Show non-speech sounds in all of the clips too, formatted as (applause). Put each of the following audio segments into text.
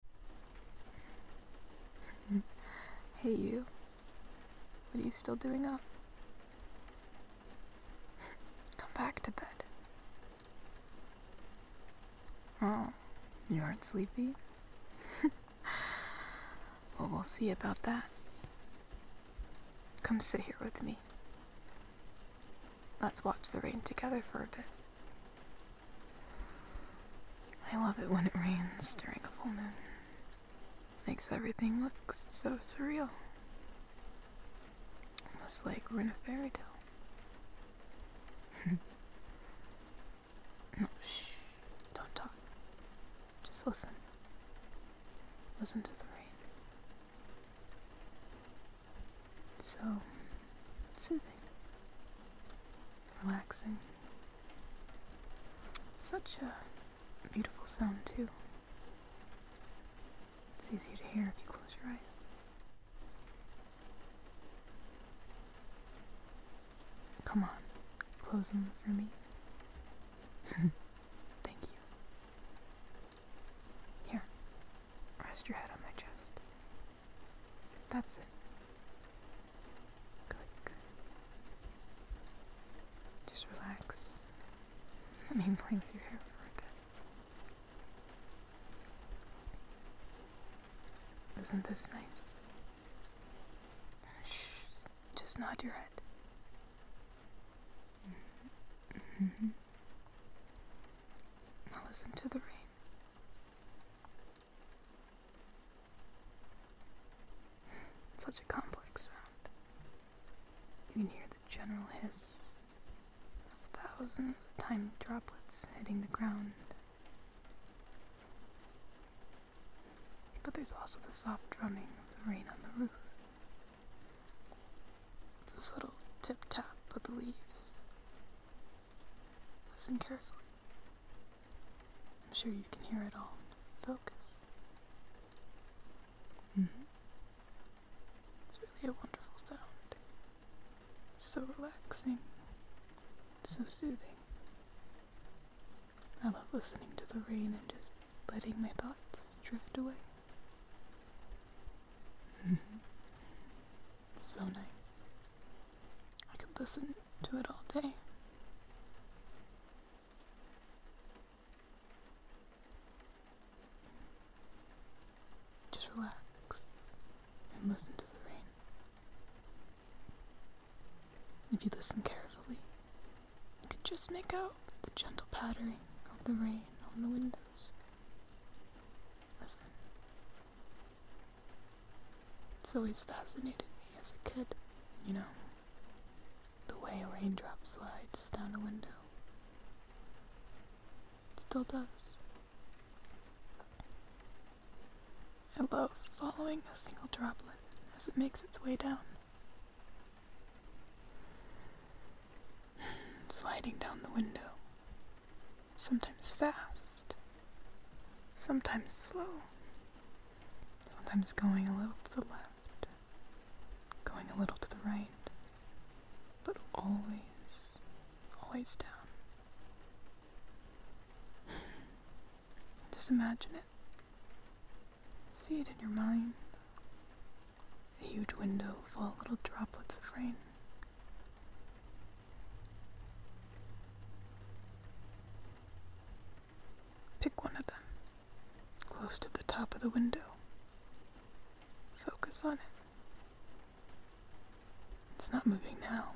(laughs) hey you. What are you still doing up? Come back to bed. Oh, you aren't sleepy? (laughs) well, we'll see about that. Come sit here with me. Let's watch the rain together for a bit. I love it when it rains during a full moon. Makes everything look so surreal. Almost like we're in a fairy tale. (laughs) shh. Don't talk. Just listen. Listen to the rain so soothing, relaxing. Such a beautiful sound, too. It's easier to hear if you close your eyes. Come on, close them for me. (laughs) Thank you. Here, rest your head on my chest. That's it. Click. Just relax. (laughs) I mean, play with your hair for a bit. Isn't this nice? Shh. Just nod your head. Mm -hmm. Now listen to the rain. (laughs) Such a complex sound. You can hear the general hiss of thousands of tiny droplets hitting the ground. But there's also the soft drumming of the rain on the roof this little tip tap of the leaves. Listen carefully. I'm sure you can hear it all. Focus. Mm-hmm. It's really a wonderful sound. So relaxing. So soothing. I love listening to the rain and just letting my thoughts drift away. (laughs) so nice. I could listen to it all day. Just relax and listen to the rain. If you listen carefully, you can just make out the gentle pattering of the rain on the window. Listen. It's always fascinated me as a kid, you know, the way a raindrop slides down a window. It still does. I love following a single droplet as it makes its way down sliding down the window, sometimes fast, sometimes slow, sometimes going a little to the left, going a little to the right, but always, always down. Just imagine it. See it in your mind. A huge window full of little droplets of rain. Pick one of them, close to the top of the window. Focus on it. It's not moving now,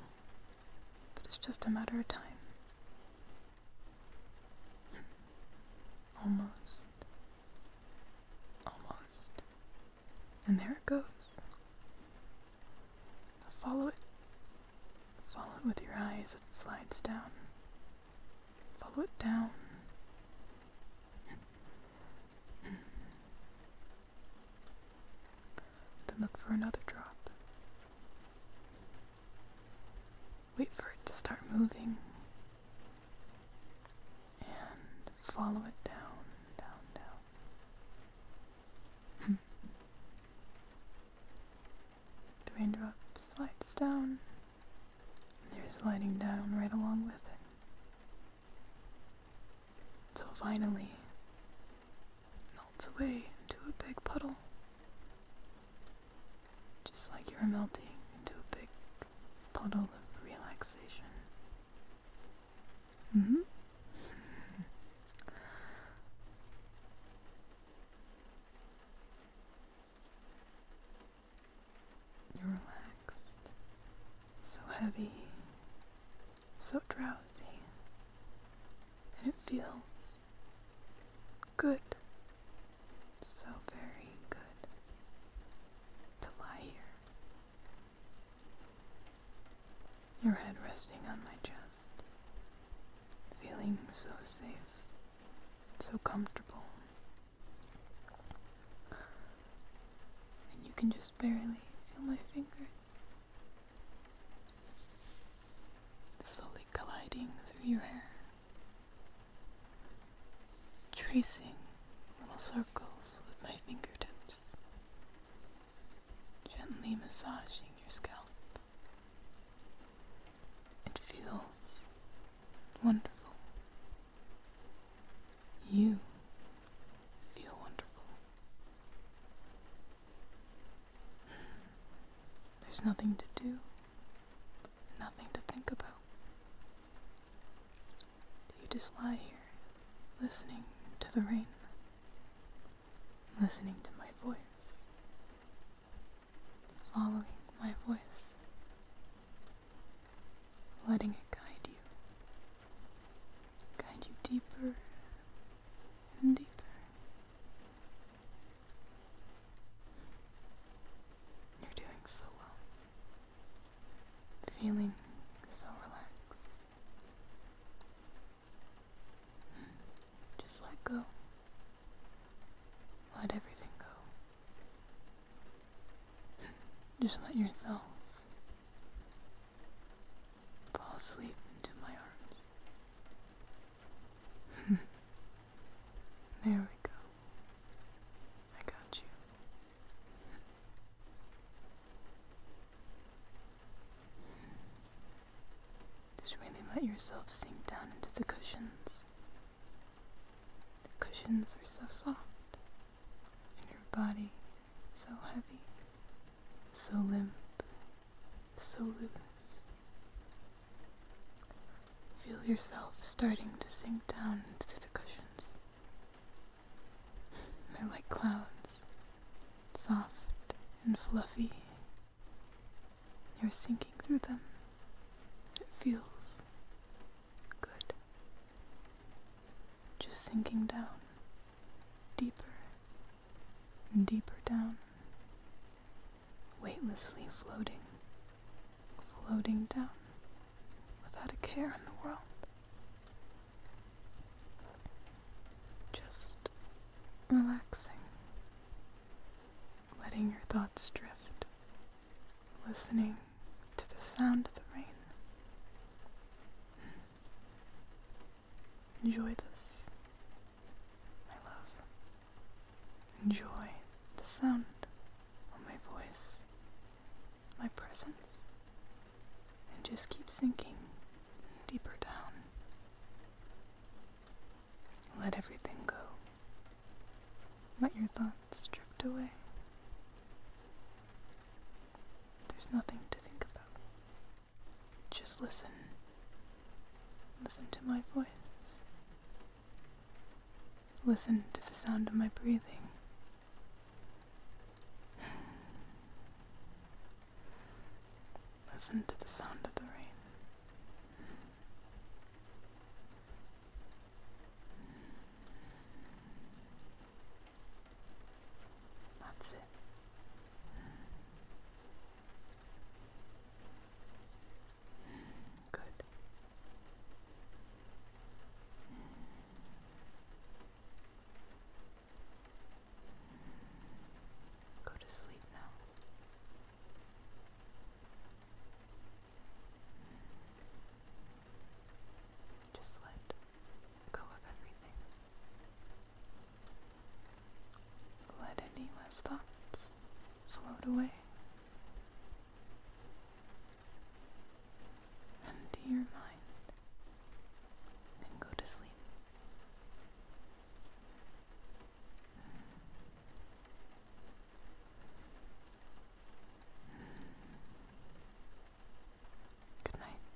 but it's just a matter of time. (laughs) Almost. Almost. And there it goes. Follow it. Follow it with your eyes as it slides down. Follow it down. then look for another drop. Wait for it to start moving. And follow it down, down, down. (laughs) the raindrop slides down. you're sliding down right along with it. Till finally, melts away into a big puddle. Just like you're melting into a big puddle of relaxation. Mm-hmm. (laughs) You're relaxed, so heavy, so drowsy, and it feels Good. So very good to lie here. Your head resting on my chest, feeling so safe, so comfortable. And you can just barely feel my fingers slowly gliding through your hair tracing little circles with my fingertips, gently massaging your scalp. It feels wonderful. You feel wonderful. There's nothing to do Nothing to think about. You just lie here, listening to the rain, listening to my voice, following my voice, letting it guide you, guide you deeper and deeper you're doing so well. Feeling so relaxed. Hmm. Just let go. Let everything go. (laughs) Just let yourself fall asleep into my arms. (laughs) there we go. I got you. Just really let yourself sink down into the cushions. The cushions are so soft, and your body so heavy, so limp, so loose. Feel yourself starting to sink down into the cushions. They're like clouds, soft and fluffy. You're sinking through them. It feels good. Just sinking down, deeper and deeper down weightlessly floating, floating down without a care in the world. Just relaxing, letting your thoughts drift, listening to the sound of the rain. Enjoy this, my love. Enjoy the sound of my voice, my presence, and just keep sinking deeper down. Let everything go. Let your thoughts drift away. There's nothing to think about. Just listen. Listen to my voice. Listen to the sound of my breathing. Listen to the sound of the rain. That's it good. Go to sleep now. Just let go of everything. Let any less thoughts float away. Empty your mind and go to sleep. Good night.